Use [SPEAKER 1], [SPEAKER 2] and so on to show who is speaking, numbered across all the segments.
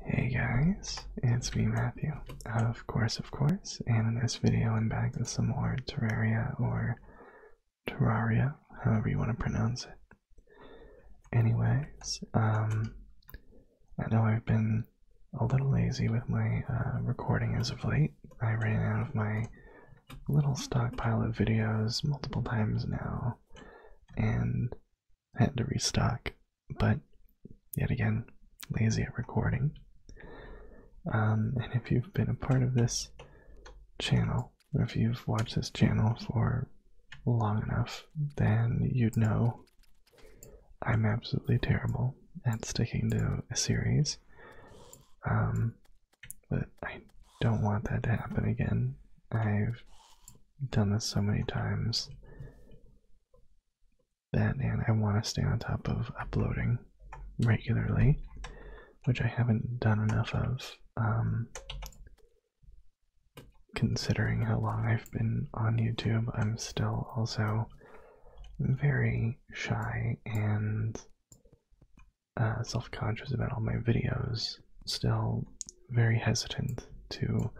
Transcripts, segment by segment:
[SPEAKER 1] Hey guys, it's me Matthew. Of course, of course, and in this video I'm back with some more Terraria or Terraria, however you want to pronounce it. Anyways, um, I know I've been a little lazy with my uh, recording as of late. I ran out of my little stockpile of videos multiple times now, and had to restock, but yet again, lazy at recording. Um, and if you've been a part of this channel, or if you've watched this channel for long enough, then you'd know I'm absolutely terrible at sticking to a series. Um, but I don't want that to happen again. I've done this so many times that and I want to stay on top of uploading regularly, which I haven't done enough of um, considering how long I've been on YouTube. I'm still also very shy and uh, self-conscious about all my videos. Still very hesitant to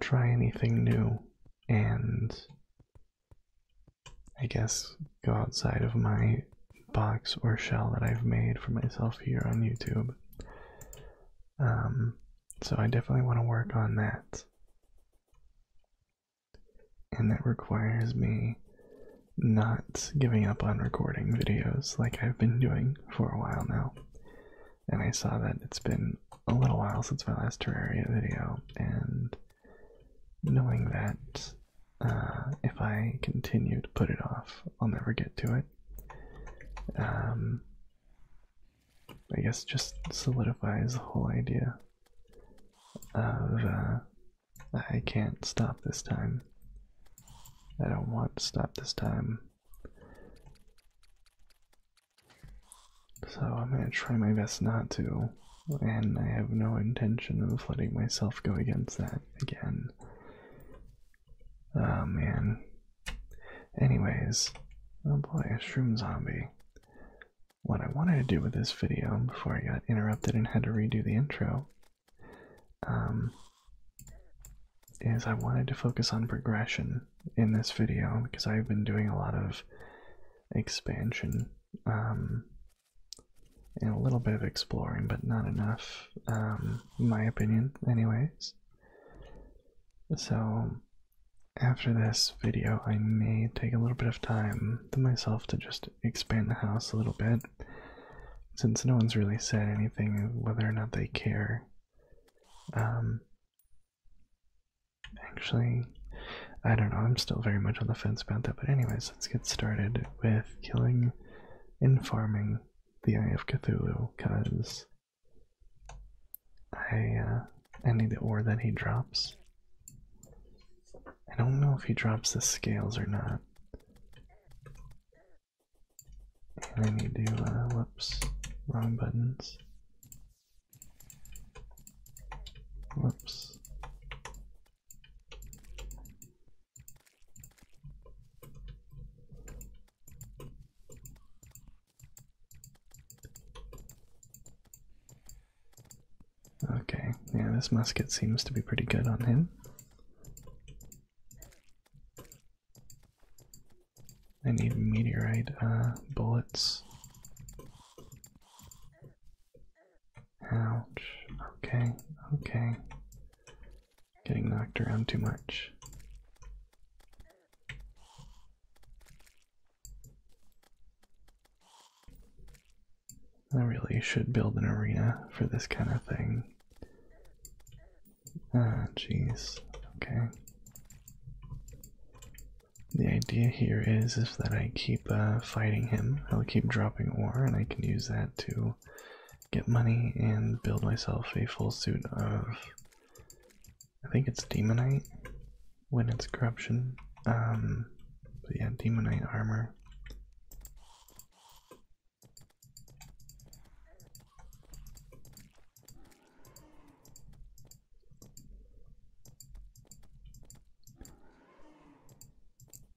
[SPEAKER 1] try anything new and I guess go outside of my box or shell that I've made for myself here on YouTube. Um, so I definitely want to work on that. And that requires me not giving up on recording videos like I've been doing for a while now and I saw that it's been a little while since my last Terraria video, and knowing that uh, if I continue to put it off, I'll never get to it. Um, I guess just solidifies the whole idea of uh, I can't stop this time. I don't want to stop this time. So I'm gonna try my best not to, and I have no intention of letting myself go against that again. Oh man. Anyways, oh boy, a shroom zombie. What I wanted to do with this video before I got interrupted and had to redo the intro um, is I wanted to focus on progression in this video because I've been doing a lot of expansion um, and a little bit of exploring, but not enough, um, in my opinion, anyways. So, after this video, I may take a little bit of time to myself to just expand the house a little bit, since no one's really said anything whether or not they care um, actually, I don't know, I'm still very much on the fence about that, but anyways, let's get started with killing and farming the Eye of Cthulhu, because I, uh, I need the ore that he drops. I don't know if he drops the scales or not. I need to, uh, whoops, wrong buttons. Whoops. Okay, yeah, this musket seems to be pretty good on him. I need meteorite uh, bullets. Ouch. Okay, okay. Getting knocked around too much. I really should build an arena for this kind of thing. Ah, jeez. Okay. The idea here is, is that I keep uh, fighting him. I'll keep dropping ore, and I can use that to get money and build myself a full suit of. I think it's demonite when it's corruption. Um, but yeah, demonite armor.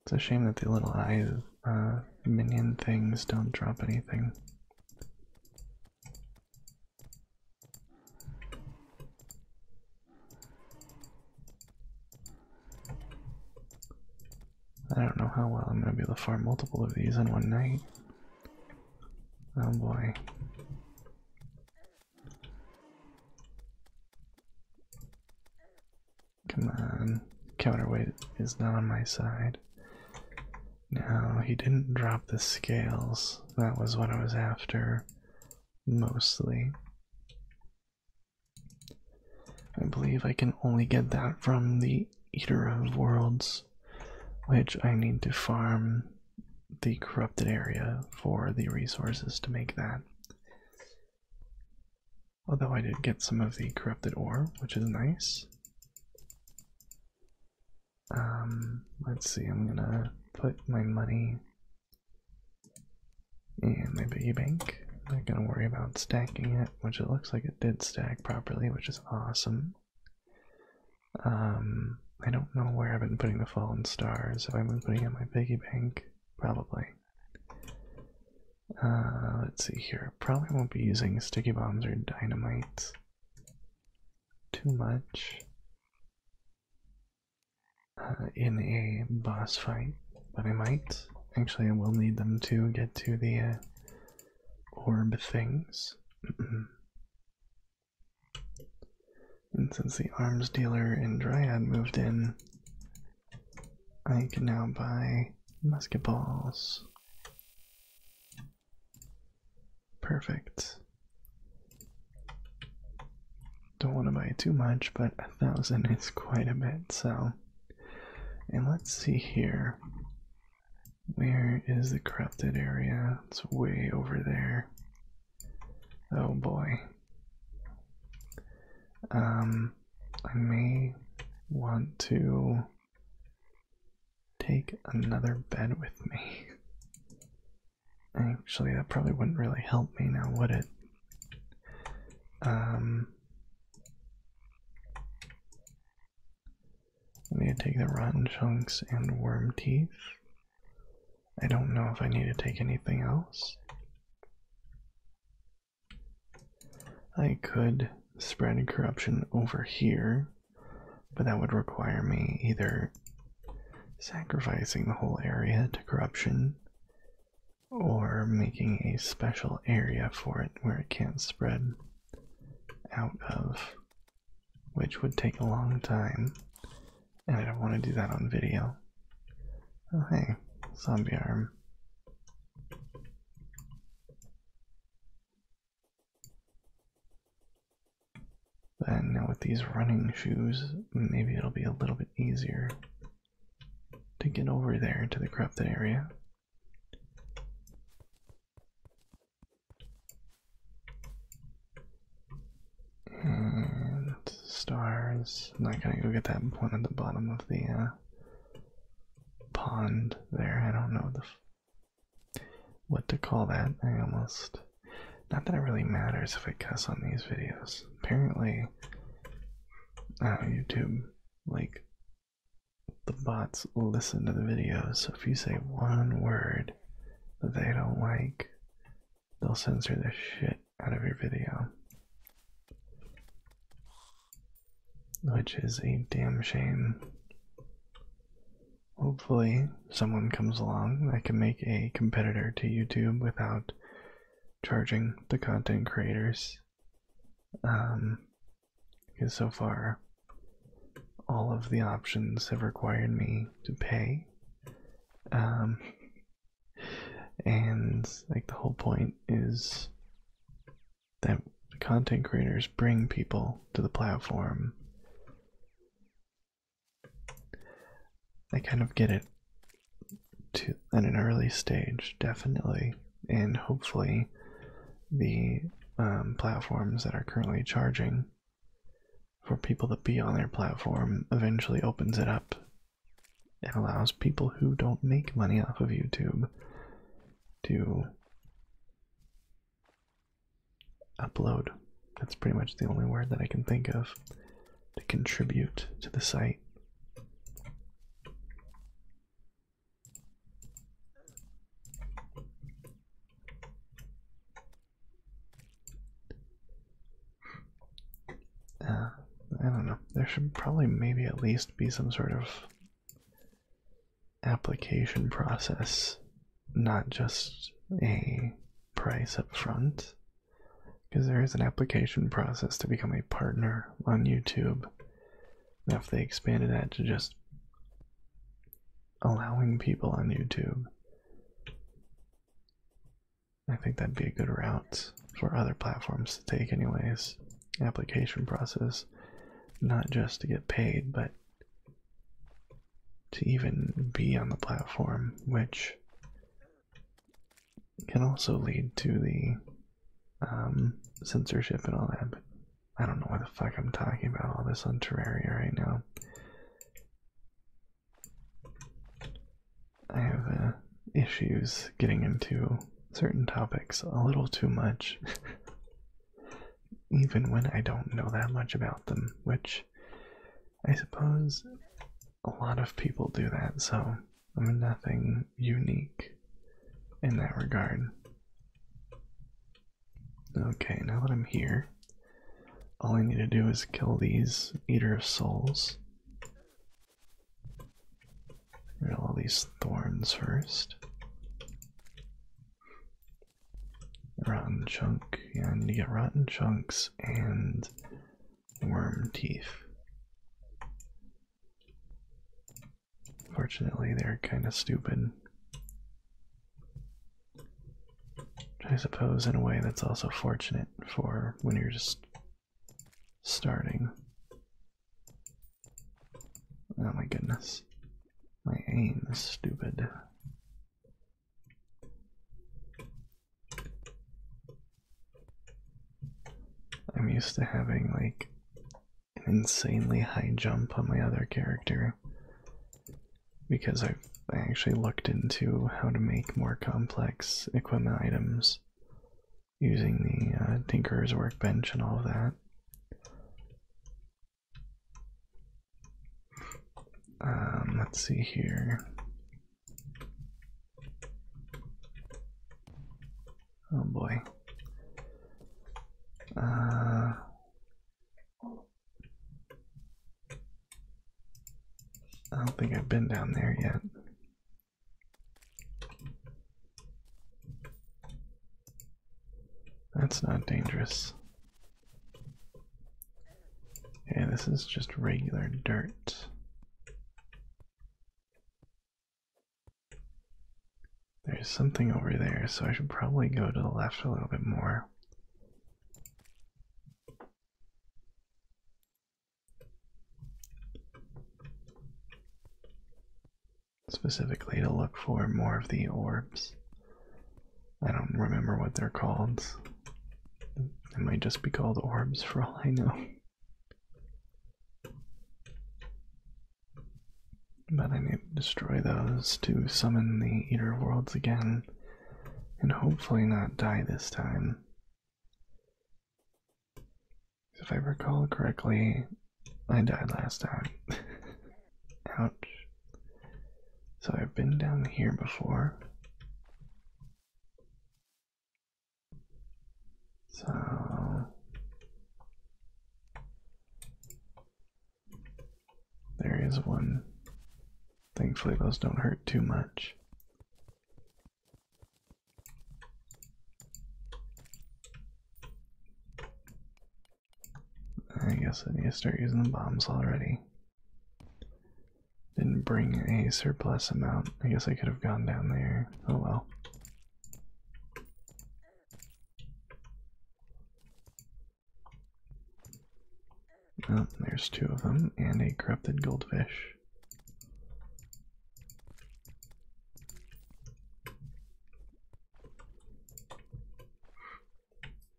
[SPEAKER 1] It's a shame that the little eye uh, minion things don't drop anything. I don't know how well I'm going to be able to farm multiple of these in one night. Oh boy. Come on. Counterweight is not on my side. Now, he didn't drop the scales. That was what I was after, mostly. I believe I can only get that from the Eater of Worlds, which I need to farm the corrupted area for the resources to make that. Although I did get some of the corrupted ore, which is nice. Um, let's see, I'm gonna put my money in my piggy bank. I'm not gonna worry about stacking it, which it looks like it did stack properly, which is awesome. Um, I don't know where I've been putting the fallen stars. Have I been putting it in my piggy bank? Probably. Uh, let's see here. Probably won't be using sticky bombs or dynamite too much uh, in a boss fight, but I might. Actually, I will need them to get to the uh, orb things. And since the arms dealer in Dryad moved in, I can now buy musket balls. Perfect. Don't want to buy too much, but a thousand is quite a bit, so. And let's see here. Where is the corrupted area? It's way over there. Oh boy. Um, I may want to take another bed with me. Actually, that probably wouldn't really help me now, would it? Um, I need to take the rotten chunks and worm teeth. I don't know if I need to take anything else. I could spread corruption over here, but that would require me either sacrificing the whole area to corruption or making a special area for it where it can't spread out of which would take a long time, and I don't want to do that on video. Oh, hey, zombie arm. Then now with these running shoes, maybe it'll be a little bit easier to get over there to the corrupted area. Uh, stars. I'm not gonna go get that one at the bottom of the uh, pond there. I don't know the what to call that. I almost. Not that it really matters if I cuss on these videos. Apparently, uh, YouTube, like, the bots listen to the videos, so if you say one word that they don't like, they'll censor the shit out of your video. Which is a damn shame. Hopefully, someone comes along that can make a competitor to YouTube without charging the content creators. Um, because so far, all of the options have required me to pay. Um, and like the whole point is that content creators bring people to the platform. I kind of get it to at an early stage, definitely, and hopefully the um, platforms that are currently charging for people to be on their platform eventually opens it up and allows people who don't make money off of YouTube to upload. That's pretty much the only word that I can think of to contribute to the site. Uh, I don't know. There should probably maybe at least be some sort of application process, not just a price up front. Because there is an application process to become a partner on YouTube. if they expanded that to just allowing people on YouTube. I think that'd be a good route for other platforms to take, anyways. Application process, not just to get paid, but to even be on the platform, which can also lead to the um, censorship and all that. I don't know why the fuck I'm talking about all this on Terraria right now. I have uh, issues getting into certain topics a little too much, even when I don't know that much about them, which I suppose a lot of people do that, so I'm nothing unique in that regard. Okay, now that I'm here, all I need to do is kill these Eater of Souls. Get all these thorns first. Rotten chunk. Yeah, I need get rotten chunks and worm teeth. Fortunately, they're kind of stupid. I suppose in a way that's also fortunate for when you're just starting. Oh my goodness. My aim is stupid. I'm used to having like an insanely high jump on my other character, because I I actually looked into how to make more complex equipment items using the uh, Tinkerer's Workbench and all of that. Um, let's see here. Oh boy. Uh, I don't think I've been down there yet. That's not dangerous. Okay, this is just regular dirt. There's something over there, so I should probably go to the left a little bit more. Specifically, to look for more of the orbs. I don't remember what they're called. They might just be called orbs for all I know. But I need to destroy those to summon the Eater Worlds again and hopefully not die this time. If I recall correctly, I died last time. Ouch. So I've been down here before. So there is one. Thankfully, those don't hurt too much. I guess I need to start using the bombs already. Didn't bring a surplus amount. I guess I could have gone down there. Oh well. Oh, there's two of them, and a corrupted goldfish.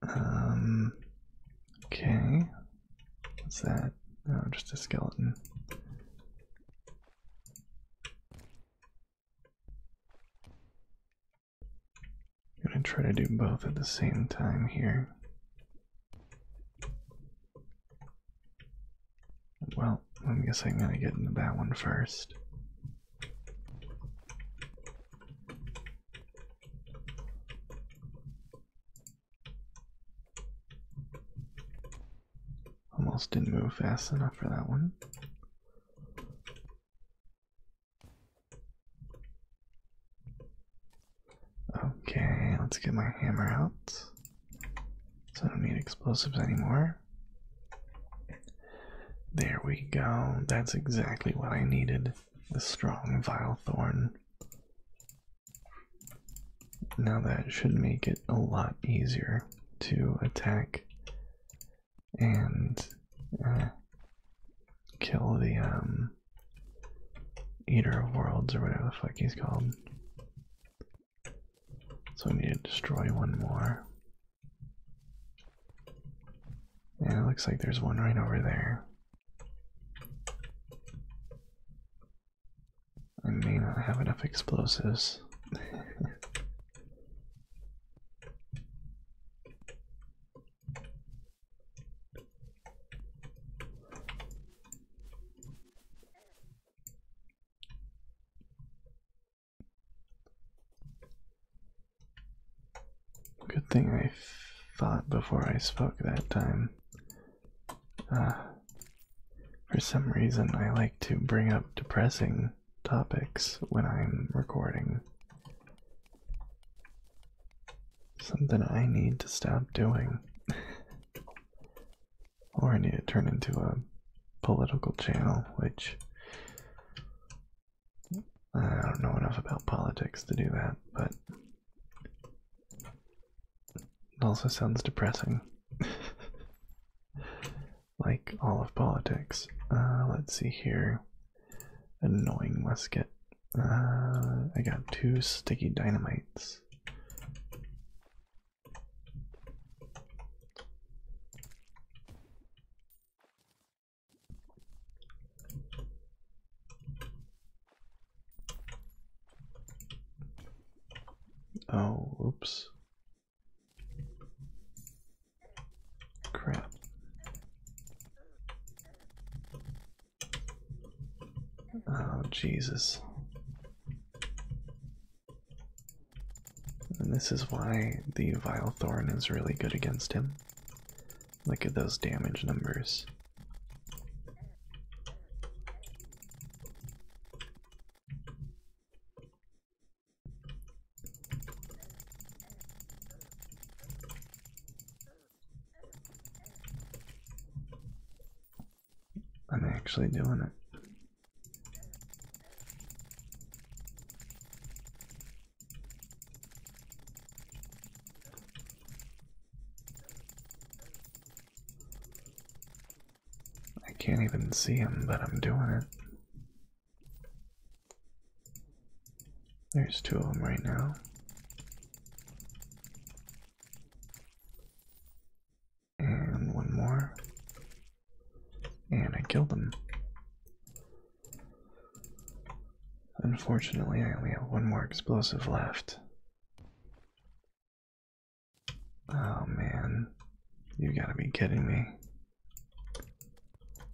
[SPEAKER 1] Um, okay. What's that? Oh, just a skeleton. I'm going to try to do both at the same time here. Well, I guess I'm going to get into that one first. Almost didn't move fast enough for that one. Okay, let's get my hammer out. So I don't need explosives anymore. There we go. That's exactly what I needed. The strong vile thorn. Now that should make it a lot easier to attack and uh, kill the um Eater of Worlds or whatever the fuck he's called. So we need to destroy one more. And it looks like there's one right over there. I may not have enough explosives. Good thing I thought before I spoke that time. Uh, for some reason, I like to bring up depressing topics when I'm recording. Something I need to stop doing. or I need to turn into a political channel, which I don't know enough about politics to do that, but it also sounds depressing. like all of politics. Uh, let's see here. Annoying musket. Uh, I got two sticky dynamites. Oh, oops. Crap. Oh, Jesus. And this is why the Vile Thorn is really good against him. Look at those damage numbers. I'm actually doing it. I can't even see him, but I'm doing it. There's two of them right now. And one more. And I killed them. Unfortunately, I only have one more explosive left. Oh man, you gotta be kidding me.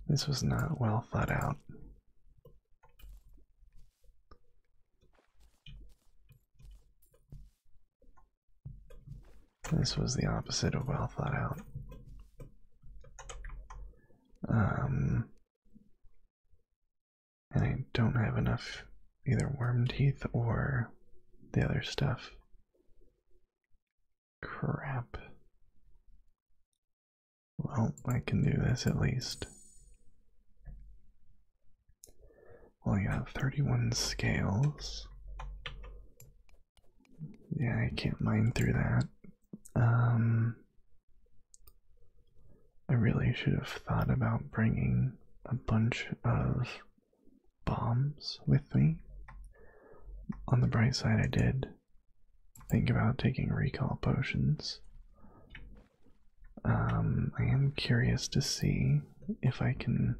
[SPEAKER 1] This was not well thought out. This was the opposite of well thought out. Um, and I don't have enough either worm teeth or the other stuff. Crap. Well, I can do this at least. Well, you have 31 scales. Yeah, I can't mine through that. Um, I really should have thought about bringing a bunch of bombs with me. On the bright side, I did think about taking recall potions, um, I am curious to see if I can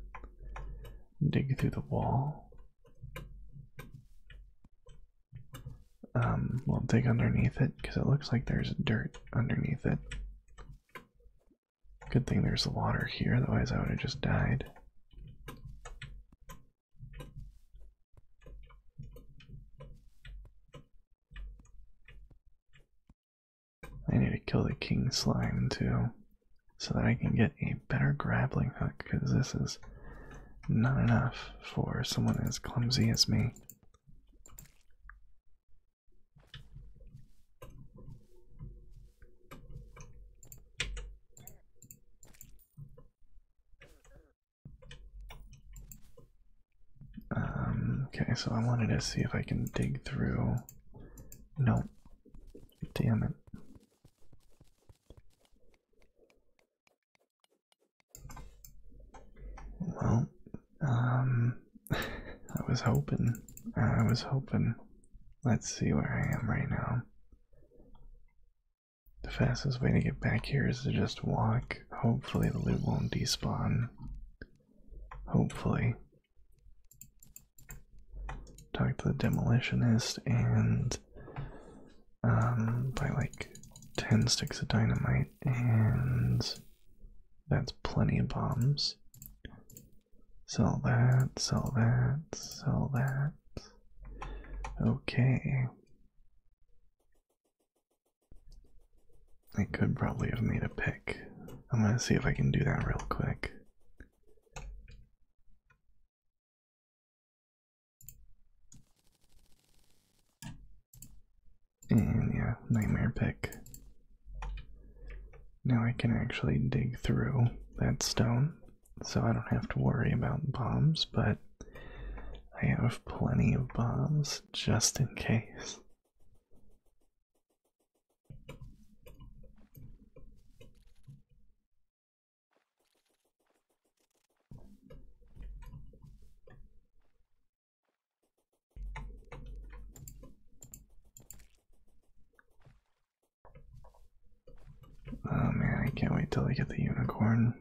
[SPEAKER 1] dig through the wall. Um, we'll dig underneath it because it looks like there's dirt underneath it. Good thing there's water here, otherwise, I would have just died. I need to kill the king slime too, so that I can get a better grappling hook, because this is not enough for someone as clumsy as me. Um, okay, so I wanted to see if I can dig through. Nope. damn it. Well, um, I was hoping, I was hoping. Let's see where I am right now. The fastest way to get back here is to just walk. Hopefully the loot won't despawn. Hopefully. Talk to the demolitionist and um buy like ten sticks of dynamite and that's plenty of bombs. Sell that, sell that, sell that. Okay. I could probably have made a pick. I'm gonna see if I can do that real quick. And yeah, nightmare pick. Now I can actually dig through that stone, so I don't have to worry about bombs, but I have plenty of bombs, just in case. Oh man, I can't wait till I get the unicorn.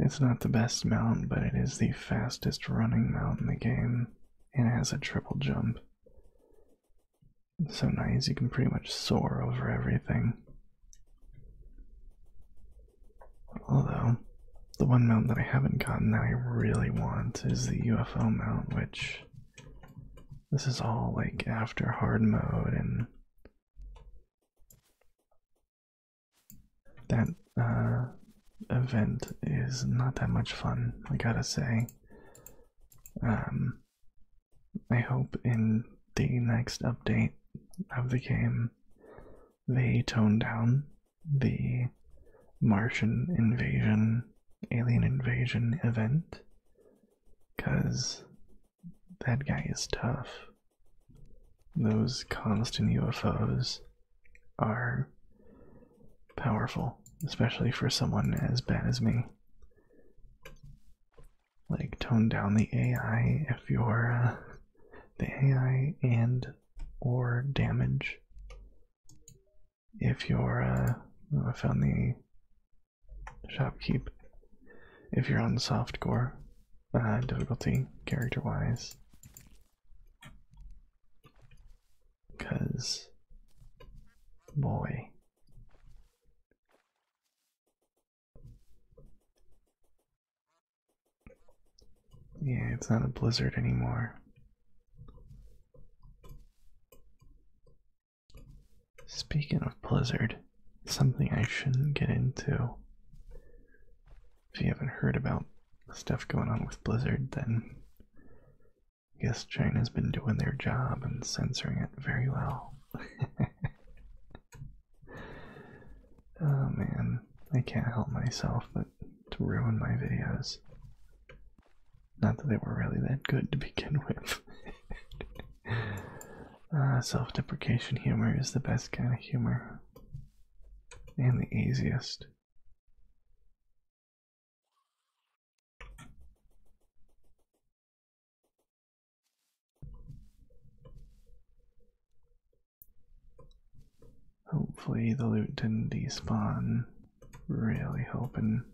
[SPEAKER 1] It's not the best mount, but it is the fastest running mount in the game and it has a triple jump. so nice, you can pretty much soar over everything. Although, the one mount that I haven't gotten that I really want is the UFO mount, which this is all like after hard mode and that uh, event is not that much fun, I gotta say. Um, I hope in the next update of the game they tone down the Martian invasion, alien invasion event, because that guy is tough those constant UFOs are powerful, especially for someone as bad as me. Like, tone down the AI if you're uh, the AI and or damage. If you're, uh, I found the shopkeep. If you're on softcore, uh, difficulty character wise, because, boy. Yeah, it's not a blizzard anymore. Speaking of blizzard, something I shouldn't get into if you haven't heard about stuff going on with Blizzard, then I guess China's been doing their job and censoring it very well. oh man, I can't help myself but to ruin my videos. Not that they were really that good to begin with. Uh, Self deprecation humor is the best kind of humor and the easiest. Hopefully the loot didn't despawn. Really hoping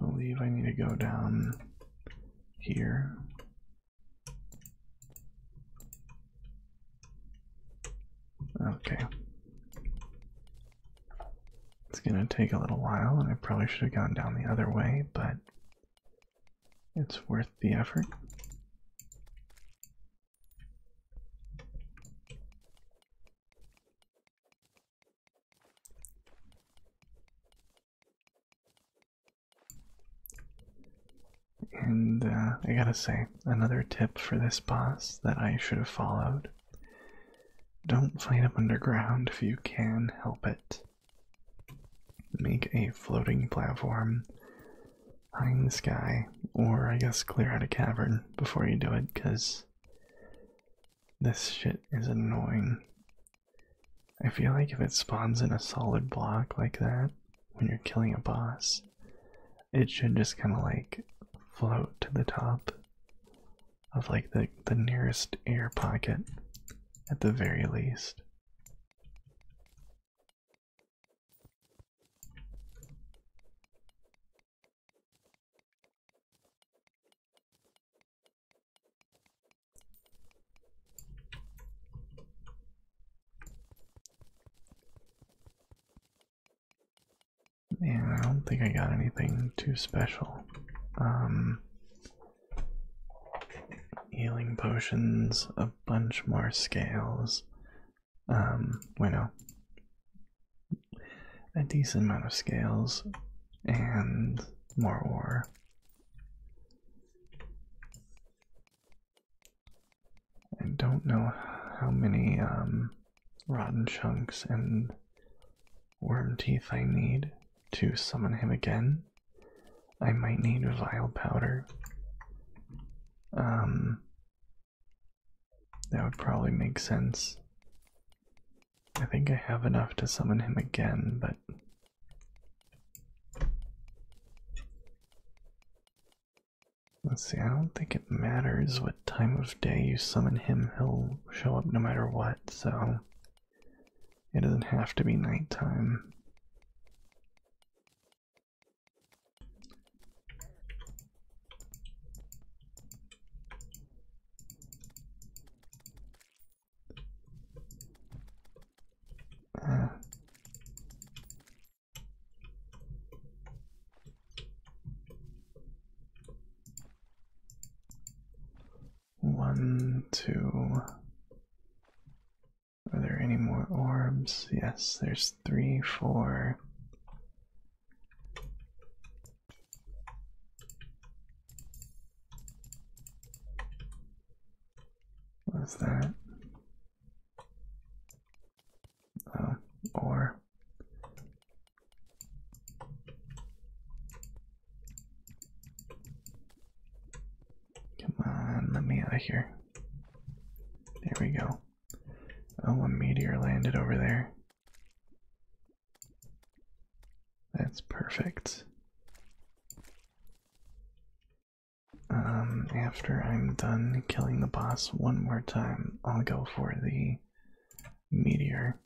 [SPEAKER 1] believe I need to go down here. Okay. It's gonna take a little while, and I probably should have gone down the other way, but it's worth the effort. And uh, I gotta say, another tip for this boss that I should have followed don't fight him underground if you can help it. Make a floating platform high in the sky, or I guess clear out a cavern before you do it, because this shit is annoying. I feel like if it spawns in a solid block like that when you're killing a boss, it should just kind of like float to the top of like the, the nearest air pocket at the very least. Yeah, I don't think I got anything too special. Um, healing potions, a bunch more scales. Um, bueno, a decent amount of scales and more ore. I don't know how many um, rotten chunks and worm teeth I need to summon him again. I might need vile powder. Um, that would probably make sense. I think I have enough to summon him again, but. Let's see, I don't think it matters what time of day you summon him, he'll show up no matter what, so. It doesn't have to be nighttime. One, two. Are there any more orbs? Yes, there's three, four. What's that? Oh, or come on, let me out of here. There we go. Oh, a meteor landed over there. That's perfect. Um, after I'm done killing the boss one more time, I'll go for the meteor.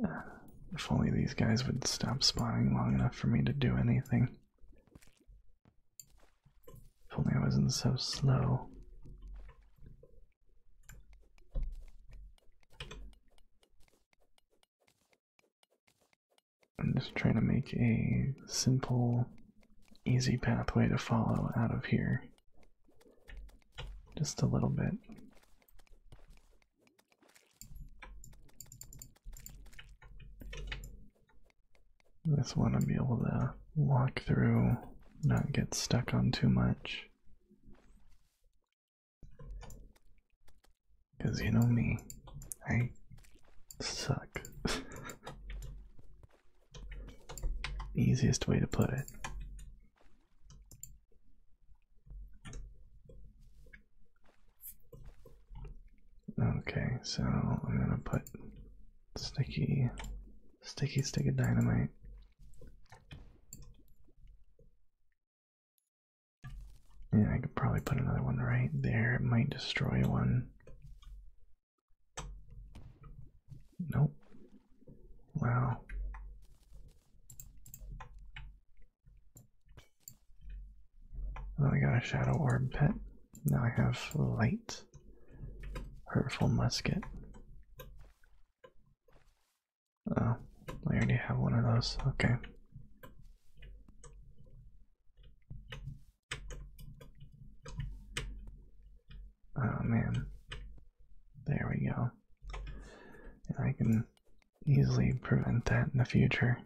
[SPEAKER 1] If only these guys would stop spawning long enough for me to do anything. If only I wasn't so slow. I'm just trying to make a simple, easy pathway to follow out of here. Just a little bit. I just want to be able to walk through, not get stuck on too much. Because you know me, I suck. Easiest way to put it. Okay, so I'm gonna put sticky, sticky stick of dynamite. Yeah, I could probably put another one right there. It might destroy one. Nope. Wow. Well, I got a shadow orb pet. Now I have light. Hurtful musket. Oh, I already have one of those. Okay. Oh man. There we go. I can easily prevent that in the future.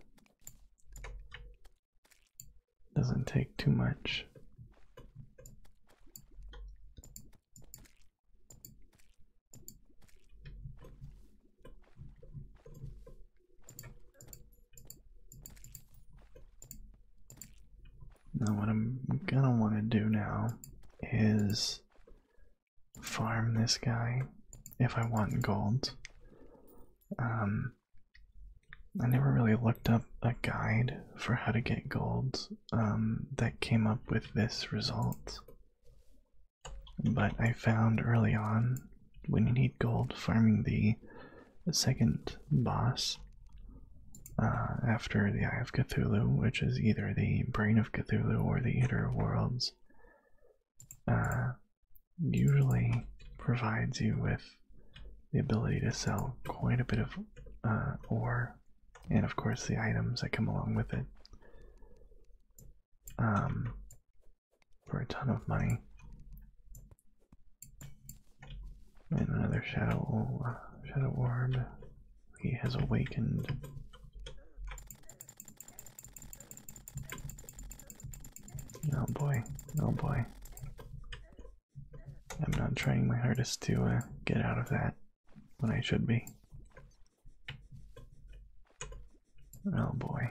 [SPEAKER 1] Doesn't take too much. Now what I'm gonna want to do now is farm this guy if I want gold. Um, I never really looked up a guide for how to get gold um, that came up with this result. But I found early on when you need gold farming the second boss uh, after the Eye of Cthulhu, which is either the Brain of Cthulhu or the Eater Worlds, uh, usually provides you with the ability to sell quite a bit of uh, ore and, of course, the items that come along with it um, for a ton of money. And another shadow shadow orb. He has awakened. Oh boy, oh boy. I'm not trying my hardest to uh, get out of that when I should be. Oh boy.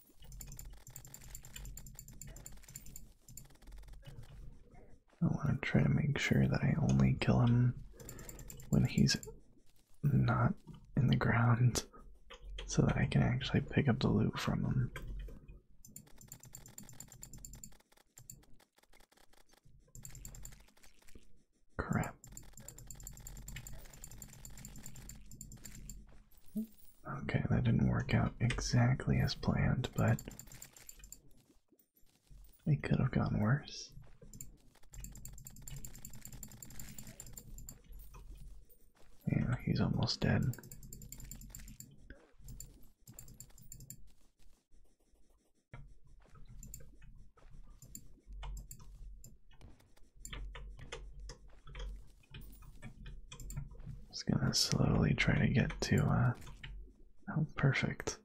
[SPEAKER 1] I want to try to make sure that I only kill him when he's not in the ground so that I can actually pick up the loot from him. Crap. Okay, that didn't work out exactly as planned, but it could have gone worse. Yeah, he's almost dead. Just gonna slowly try to get to uh oh perfect.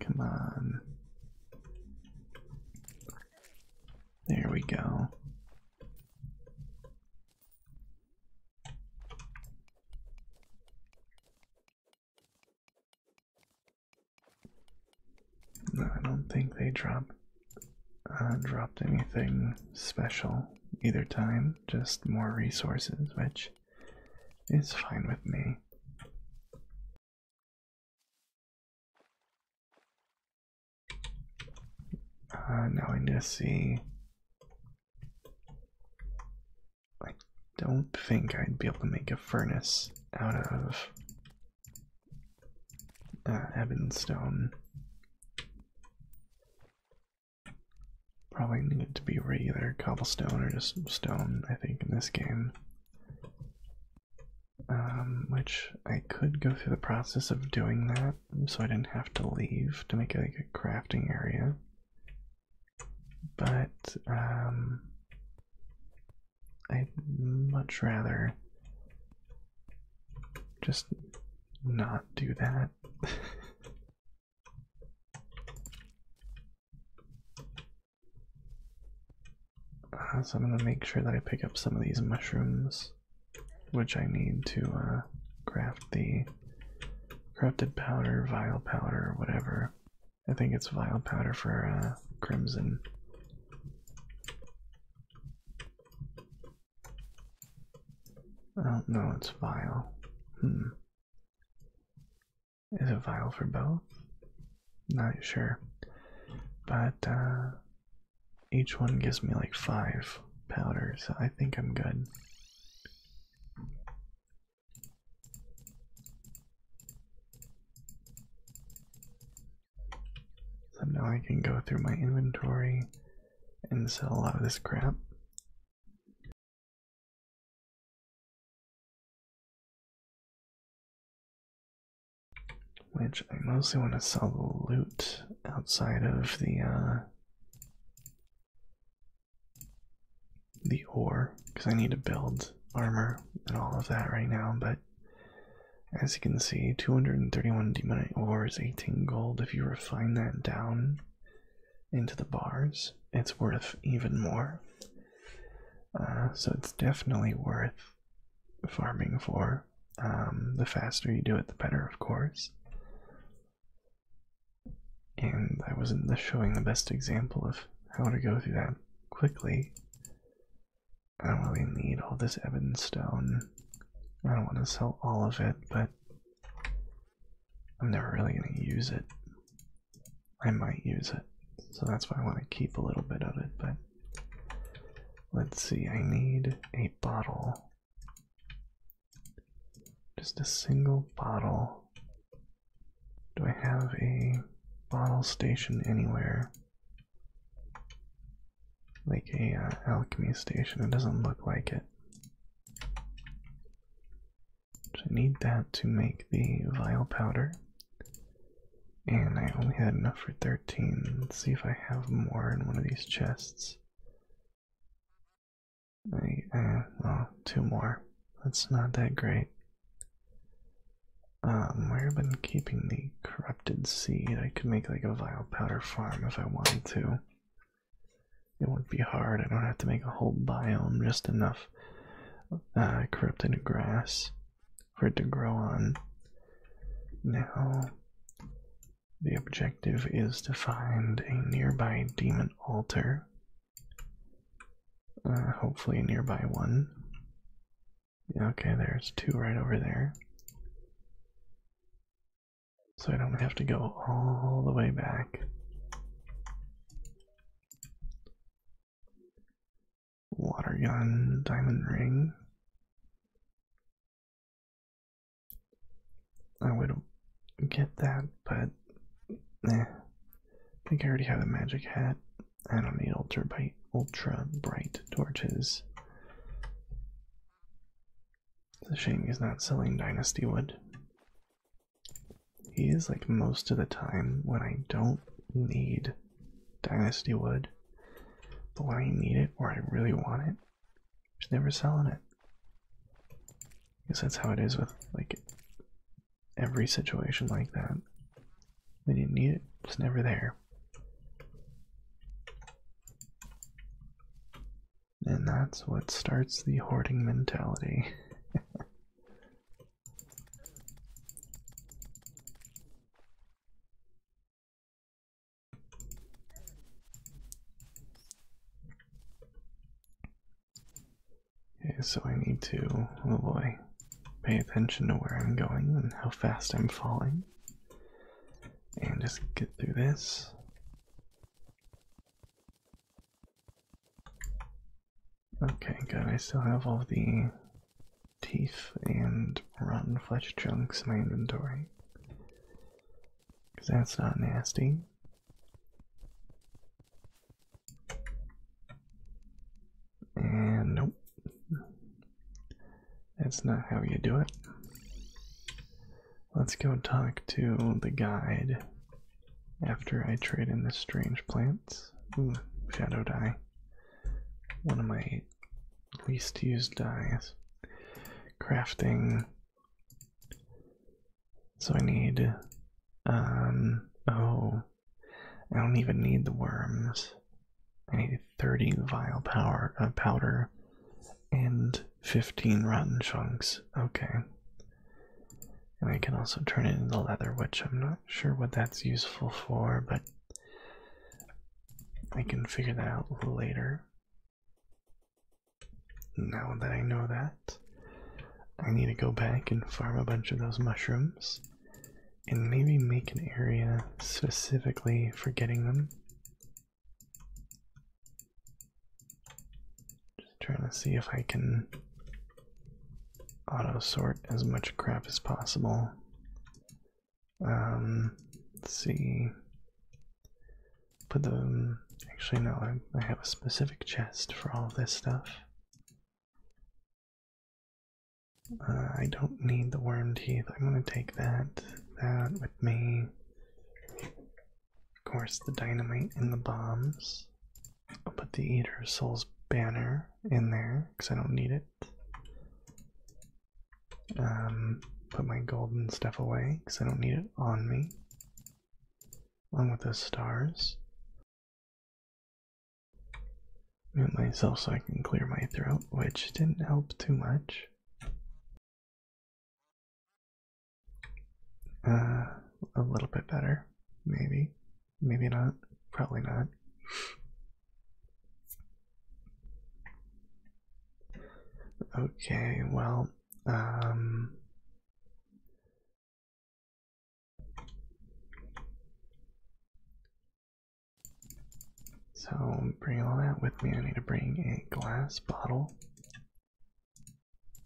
[SPEAKER 1] Come on. There we go. I don't think they drop uh, dropped anything special either time. Just more resources, which is fine with me. Uh, now I need to see. I don't think I'd be able to make a furnace out of uh, Ebonstone. Probably need it to be regular cobblestone or just stone, I think, in this game. Um, which I could go through the process of doing that so I didn't have to leave to make a crafting area. But um, I'd much rather just not do that. Uh, so I'm gonna make sure that I pick up some of these mushrooms which I need to craft uh, the corrupted powder, vile powder, whatever. I think it's vile powder for uh, crimson. Oh no, it's vile. Hmm. Is it vile for both? Not sure. But uh, each one gives me like five powder, so I think I'm good. So now I can go through my inventory and sell a lot of this crap. Which I mostly want to sell the loot outside of the uh, the ore, because I need to build armor and all of that right now, but as you can see, 231 demonite ore is 18 gold. If you refine that down into the bars, it's worth even more. Uh, so it's definitely worth farming for. Um, the faster you do it, the better, of course. And I wasn't showing the best example of how to go through that quickly. I don't really need all this ebon stone. I don't want to sell all of it, but I'm never really going to use it. I might use it, so that's why I want to keep a little bit of it, but let's see, I need a bottle just a single bottle. Do I have a bottle station anywhere? Like a uh, alchemy station. It doesn't look like it. I need that to make the vial powder. And I only had enough for 13. see if I have more in one of these chests. Uh, well, two more. That's not that great. Um, I've been keeping the corrupted seed. I could make like a vile powder farm if I wanted to. It would not be hard. I don't have to make a whole biome, just enough uh, corrupted grass for it to grow on. Now, the objective is to find a nearby demon altar, uh, hopefully, a nearby one. Okay, there's two right over there. So I don't have to go all the way back. Water gun, diamond ring. I would get that, but eh. I think I already have a magic hat. and I do need ultra bright, ultra bright torches. The Shang is not selling Dynasty Wood. He is like most of the time when I don't need Dynasty Wood, but when I need it or I really want it, just never selling it. Because that's how it is with like every situation like that. We didn't need it, it's never there. And that's what starts the hoarding mentality. Okay, so I need to, oh boy, pay attention to where I'm going and how fast I'm falling. And just get through this. Okay, good. I still have all the teeth and rotten flesh chunks in my inventory. Because that's not nasty. And nope. That's not how you do it. Let's go talk to the guide after I trade in the strange plants. shadow dye. One of my Least used dies. Crafting. So I need, um, oh, I don't even need the worms. I need 30 vile power, uh, powder and 15 rotten chunks. Okay. And I can also turn it into leather, which I'm not sure what that's useful for, but I can figure that out later. Now that I know that, I need to go back and farm a bunch of those mushrooms and maybe make an area specifically for getting them. Just trying to see if I can auto sort as much crap as possible. Um, let's see. Put the. Um, actually, no, I, have a specific chest for all this stuff. Uh, I don't need the worm teeth. I'm gonna take that, that with me. Of course, the dynamite and the bombs. I'll put the Eater Souls banner in there because I don't need it. Um, put my golden stuff away because I don't need it on me. Along with those stars. Mute myself so I can clear my throat, which didn't help too much. Uh, a little bit better, maybe. Maybe not. Probably not. Okay, well, um, so bring all that with me. I need to bring a glass bottle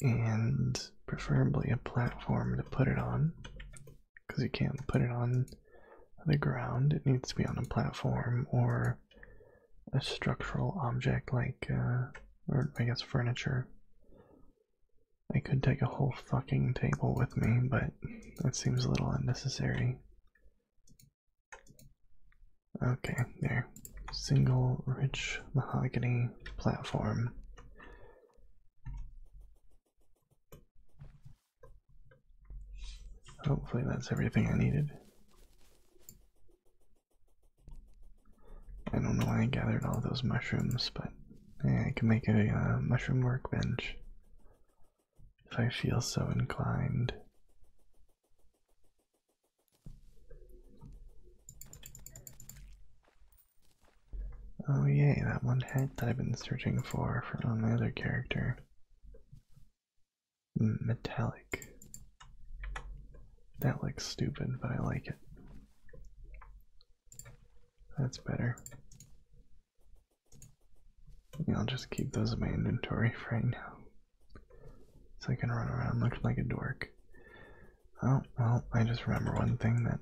[SPEAKER 1] and preferably a platform to put it on because you can't put it on the ground, it needs to be on a platform or a structural object like, uh, or I guess furniture. I could take a whole fucking table with me, but that seems a little unnecessary. Okay, there. Single rich mahogany platform. Hopefully, that's everything I needed. I don't know why I gathered all those mushrooms, but I can make a uh, mushroom workbench if I feel so inclined. Oh yay, that one hat that I've been searching for for um, my other character metallic. That looks stupid, but I like it. That's better. I'll just keep those in my inventory for right now. So I can run around looking like a dork. Oh, well, I just remember one thing that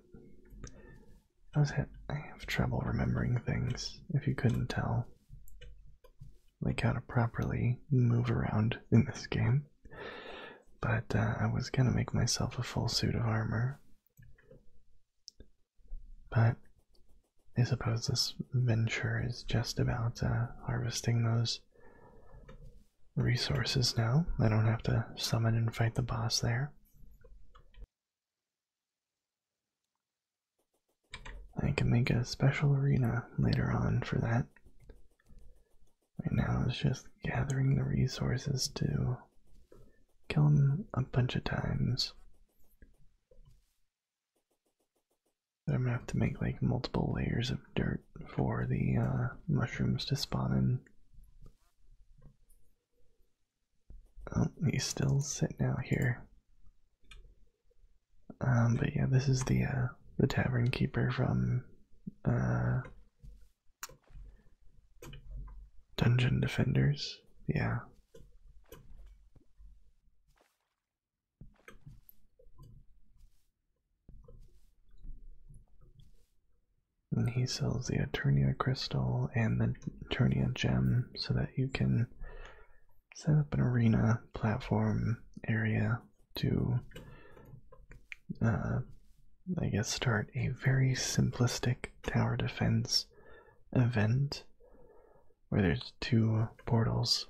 [SPEAKER 1] I was hit. I have trouble remembering things, if you couldn't tell like how to properly move around in this game. But uh, I was gonna make myself a full suit of armor. But I suppose this venture is just about uh, harvesting those resources now. I don't have to summon and fight the boss there. I can make a special arena later on for that. Right now, it's just gathering the resources to kill him a bunch of times. I'm gonna have to make like multiple layers of dirt for the uh, mushrooms to spawn in. Oh, he's still sitting out here. Um, but yeah, this is the uh, the tavern keeper from uh, Dungeon Defenders. Yeah. And he sells the Eternia crystal and the Eternia gem so that you can set up an arena platform area to, uh, I guess, start a very simplistic tower defense event where there's two portals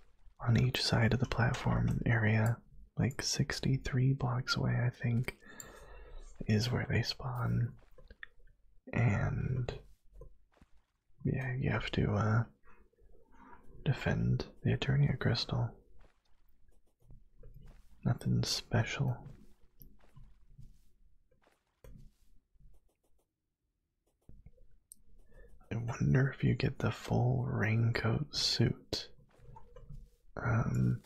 [SPEAKER 1] on each side of the platform area, like 63 blocks away, I think, is where they spawn. And yeah, you have to uh, defend the attorney at crystal. Nothing special. I wonder if you get the full raincoat suit. Um,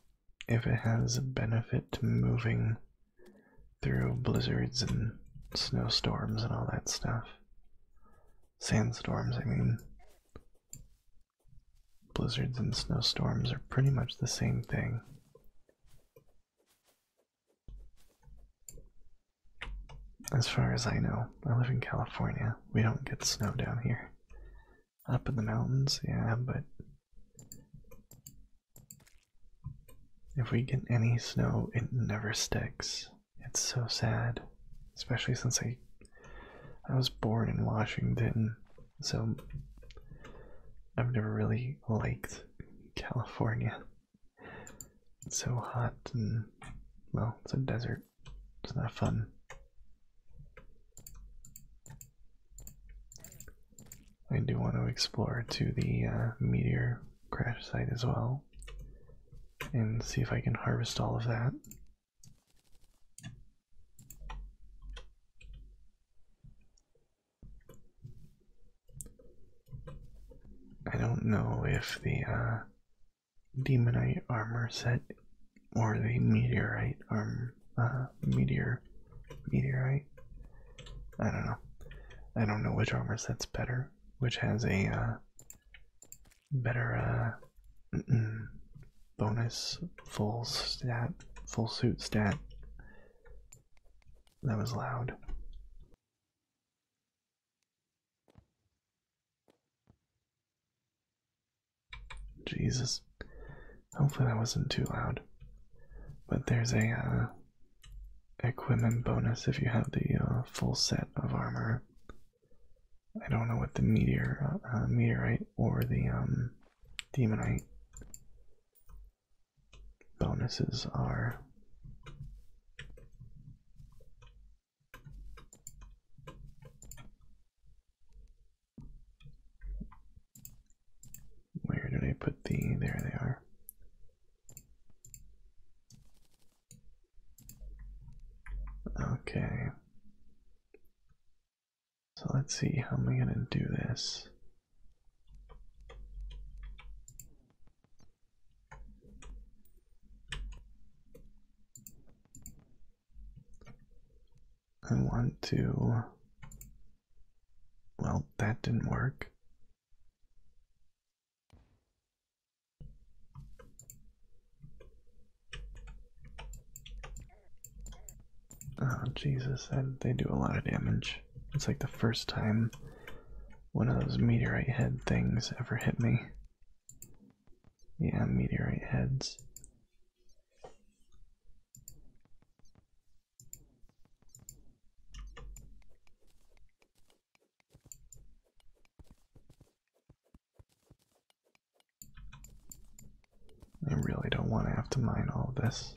[SPEAKER 1] if it has a benefit to moving through blizzards and snowstorms and all that stuff sandstorms, I mean, blizzards and snowstorms are pretty much the same thing. As far as I know, I live in California. We don't get snow down here. Up in the mountains, yeah, but if we get any snow, it never sticks. It's so sad, especially since I I was born in Washington, so I've never really liked California. It's so hot and well, it's a desert. It's not fun. I do want to explore to the uh, meteor crash site as well and see if I can harvest all of that I don't know if the uh, demonite armor set or the meteorite arm uh, meteor meteorite. I don't know. I don't know which armor set's better, which has a uh, better uh, bonus full stat, full suit stat. That was loud. Jesus. Hopefully that wasn't too loud. But there's a uh, equipment bonus if you have the uh, full set of armor I don't know what the meteor, uh, meteorite or the um, demonite bonuses are. Where did I put the? There they are. Okay. So let's see, how am I going to do this? I want to. Well, that didn't work. Ah, Jesus, they do a lot of damage. It's like the first time one of those meteorite head things ever hit me. Yeah, meteorite heads. I really don't want to have to mine all this.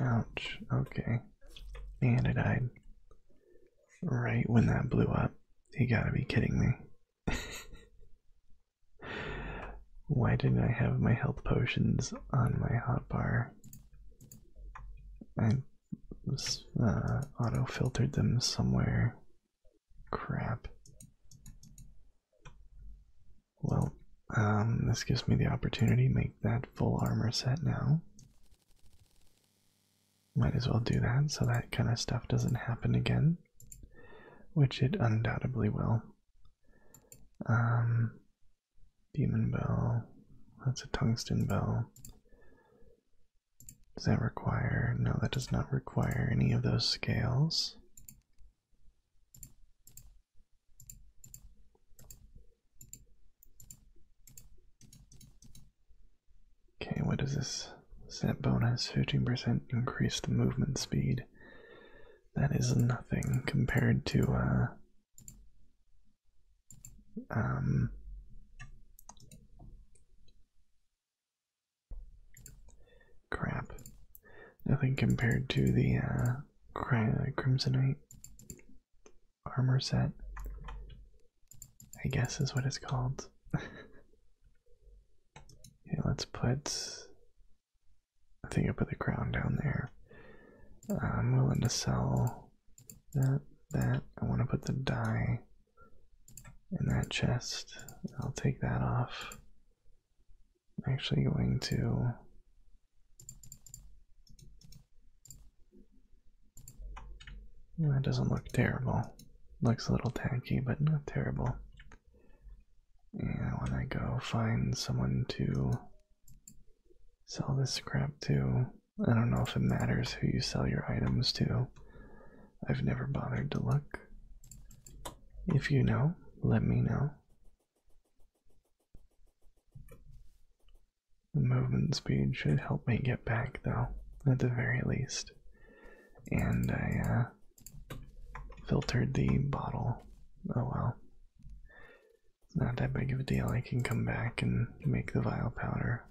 [SPEAKER 1] Ouch, okay. And it died. Right when that blew up. You gotta be kidding me. Why didn't I have my health potions on my hotbar? I uh, auto filtered them somewhere. Crap. Well, um, this gives me the opportunity make that full armor set now. Might as well do that so that kind of stuff doesn't happen again, which it undoubtedly will. Um, demon bell, that's a tungsten bell. Does that require? No, that does not require any of those scales. Okay, what is this? Set bonus 15% increased movement speed. That is nothing compared to uh, um Crap. Nothing compared to the uh, uh, Crimsonite armor set, I guess is what it's called. okay, let's put. I think I put the crown down there. I'm willing to sell that. That I want to put the die in that chest. I'll take that off. I'm actually going to that doesn't look terrible. Looks a little tanky, but not terrible. And when I go find someone to sell this scrap to, I don't know if it matters who you sell your items to. I've never bothered to look. If you know, let me know. The movement speed should help me get back, though, at the very least. And I uh, filtered the bottle. Oh well. not that big of a deal. I can come back and make the vial powder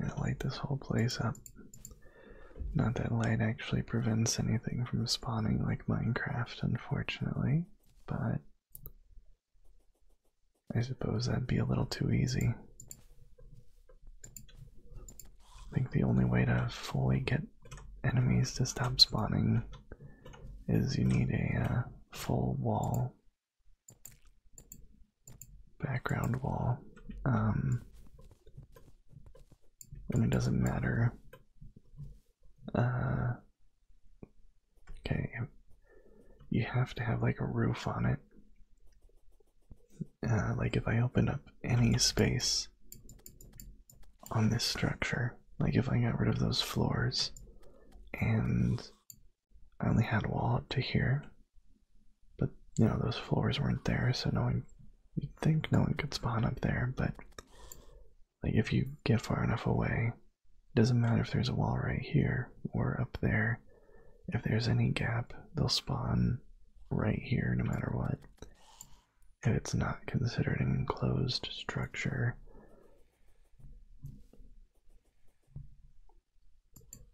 [SPEAKER 1] I light this whole place up. Not that light actually prevents anything from spawning like Minecraft, unfortunately, but I suppose that'd be a little too easy. I think the only way to fully get enemies to stop spawning is you need a uh, full wall, background wall. Um, and it doesn't matter. Uh, okay, you have to have like a roof on it. Uh, like if I open up any space on this structure, like if I got rid of those floors and I only had a wall up to here, but, you know, those floors weren't there, so no one, you'd think no one could spawn up there, but, like, if you get far enough away, it doesn't matter if there's a wall right here or up there. If there's any gap, they'll spawn right here no matter what. If it's not considered an enclosed structure.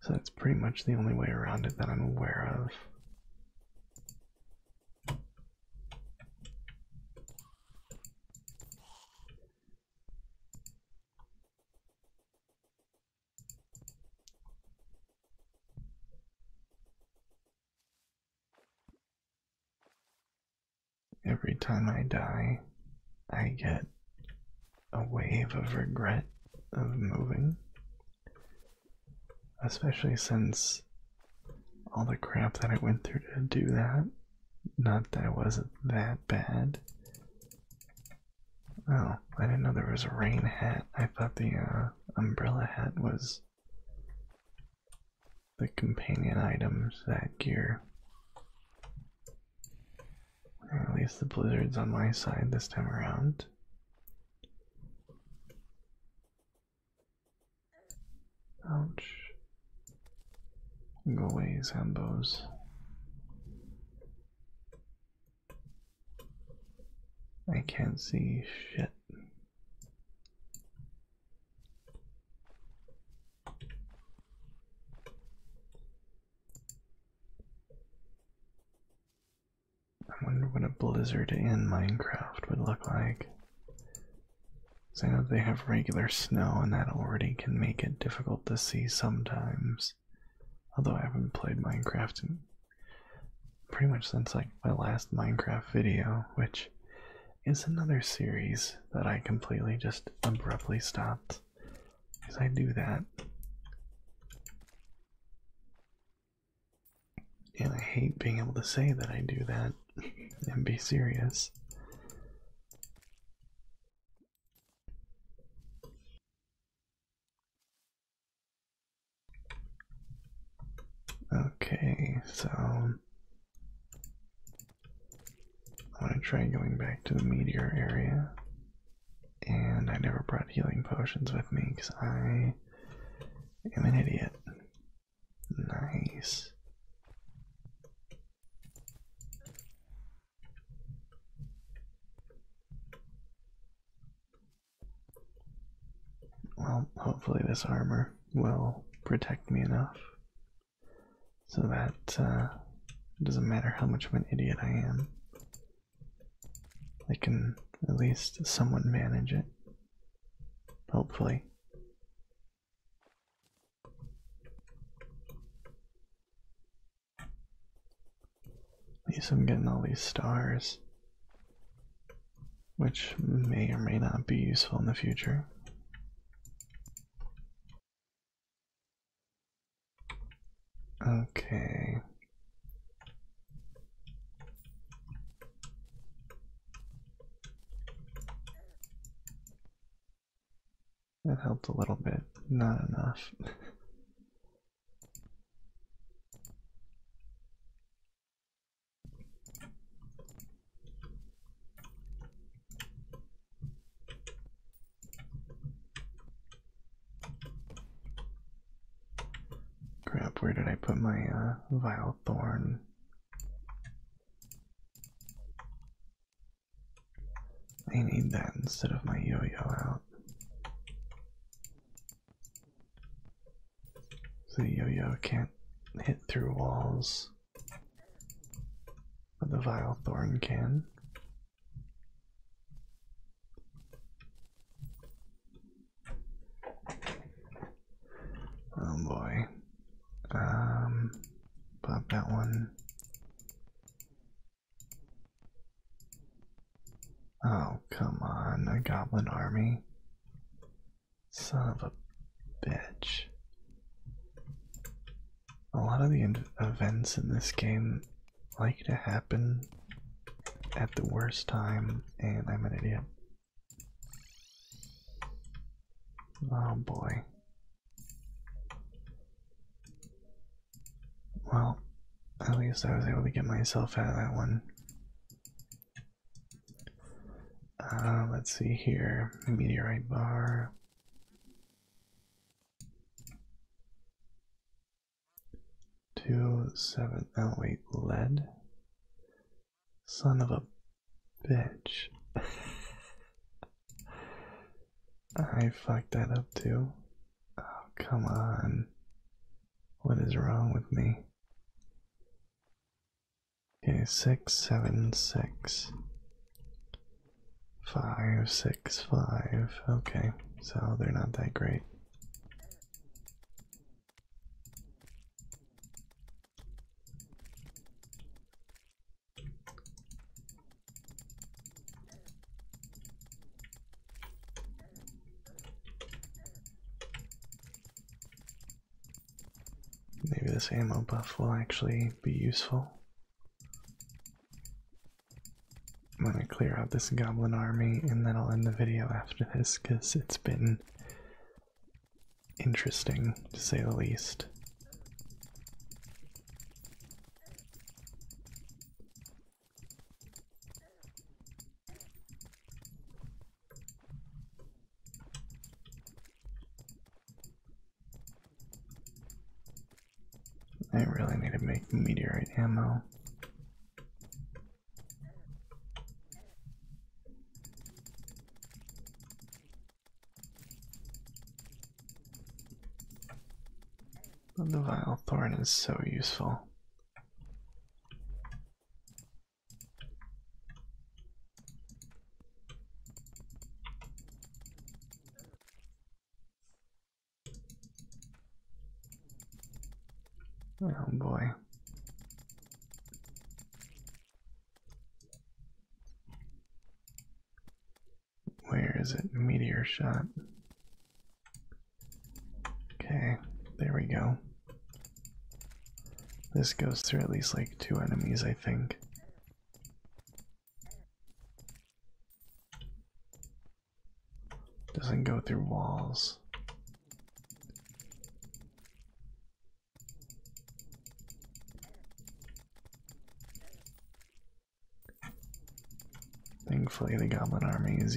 [SPEAKER 1] So that's pretty much the only way around it that I'm aware of. Every time I die, I get a wave of regret of moving. Especially since all the crap that I went through to do that. Not that it wasn't that bad. Oh, I didn't know there was a rain hat. I thought the uh, umbrella hat was the companion items that gear. Or at least the blizzard's on my side this time around. Ouch. Go away, Zambos. I can't see shit. I wonder what a blizzard in Minecraft would look like. Because I know they have regular snow, and that already can make it difficult to see sometimes. Although I haven't played Minecraft in pretty much since like my last Minecraft video, which is another series that I completely just abruptly stopped. Because I do that. And I hate being able to say that I do that and be serious. Okay, so I'm gonna try going back to the meteor area. And I never brought healing potions with me because I I am an idiot. Nice. Well, hopefully, this armor will protect me enough so that uh, it doesn't matter how much of an idiot I am. I can at least somewhat manage it. Hopefully. At least I'm getting all these stars, which may or may not be useful in the future. Okay. That helped a little bit, not enough. Crap, where did I put my uh, vile thorn? I need that instead of my yo yo out. the yo yo can't hit through walls, but the vile thorn can. Oh boy. Um, pop that one. Oh, come on, a goblin army. Son of a bitch. A lot of the events in this game like to happen at the worst time, and I'm an idiot. Oh boy. Well, at least I was able to get myself out of that one. Uh, let's see here. Meteorite bar. two seven. Two, seven, oh wait, lead. Son of a bitch. I fucked that up too. Oh, come on. What is wrong with me? Okay, six, seven, six, five, six, five. Okay, so they're not that great. Maybe this ammo buff will actually be useful I'm gonna clear out this goblin army, and then I'll end the video after this because it's been interesting, to say the least. I really need to make meteorite ammo the vile thorn is so useful. Oh boy. Where is it? Meteor shot. Okay, there we go. This goes through at least like two enemies, I think. Doesn't go through walls. Thankfully, the Goblin Army is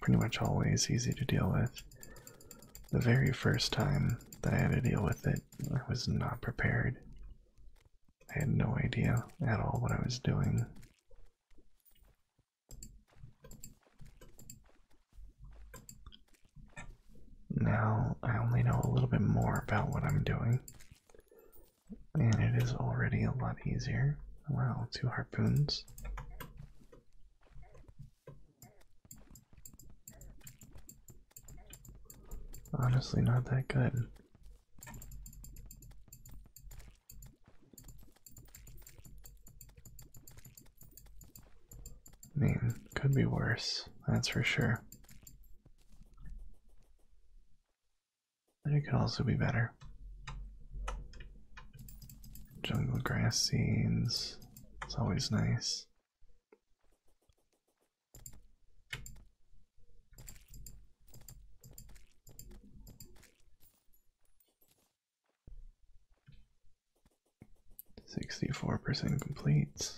[SPEAKER 1] pretty much always easy to deal with. The very first time that I had to deal with it, I was not prepared. I had no idea at all what I was doing. Now I only know a little bit more about what I'm doing, and it is already a lot easier. Wow, two harpoons. Honestly, not that good. I mean, could be worse, that's for sure. But it could also be better. Jungle grass scenes, it's always nice. Sixty-four percent complete.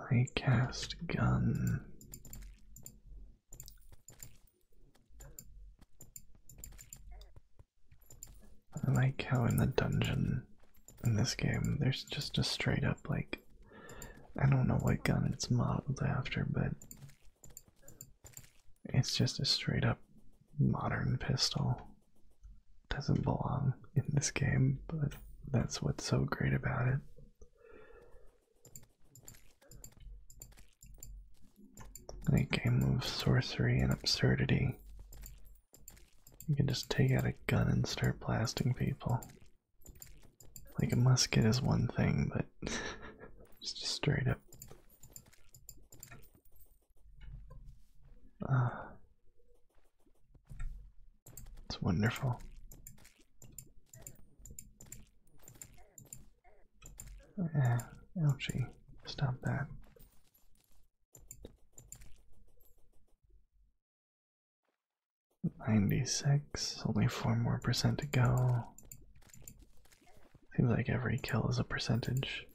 [SPEAKER 1] I cast gun. I like how in the dungeon in this game there's just a straight up like I don't know what gun it's modeled after, but it's just a straight up modern pistol. Doesn't belong in this game, but that's what's so great about it. In a game of sorcery and absurdity, you can just take out a gun and start blasting people. Like a musket is one thing, but it's just straight up. Uh, it's wonderful. Uh, stop that. 96, only 4 more percent to go. Seems like every kill is a percentage.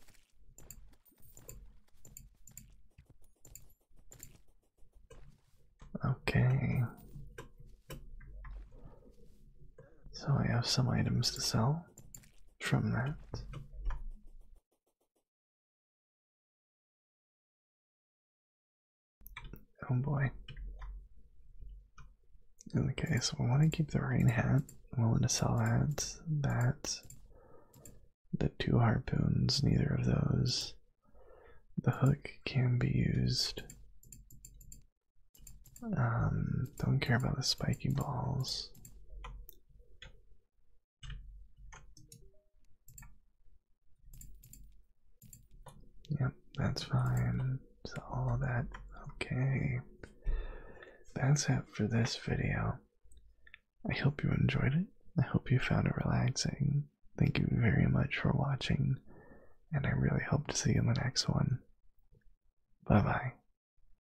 [SPEAKER 1] Okay. So I have some items to sell from that. Oh boy. Okay, so I want to keep the rain hat, willing to sell that, that, the two harpoons, neither of those. The hook can be used. Um, don't care about the spiky balls. Yep, that's fine. So all that okay. That's it for this video. I hope you enjoyed it. I hope you found it relaxing. Thank you very much for watching, and I really hope to see you in the next one. Bye bye.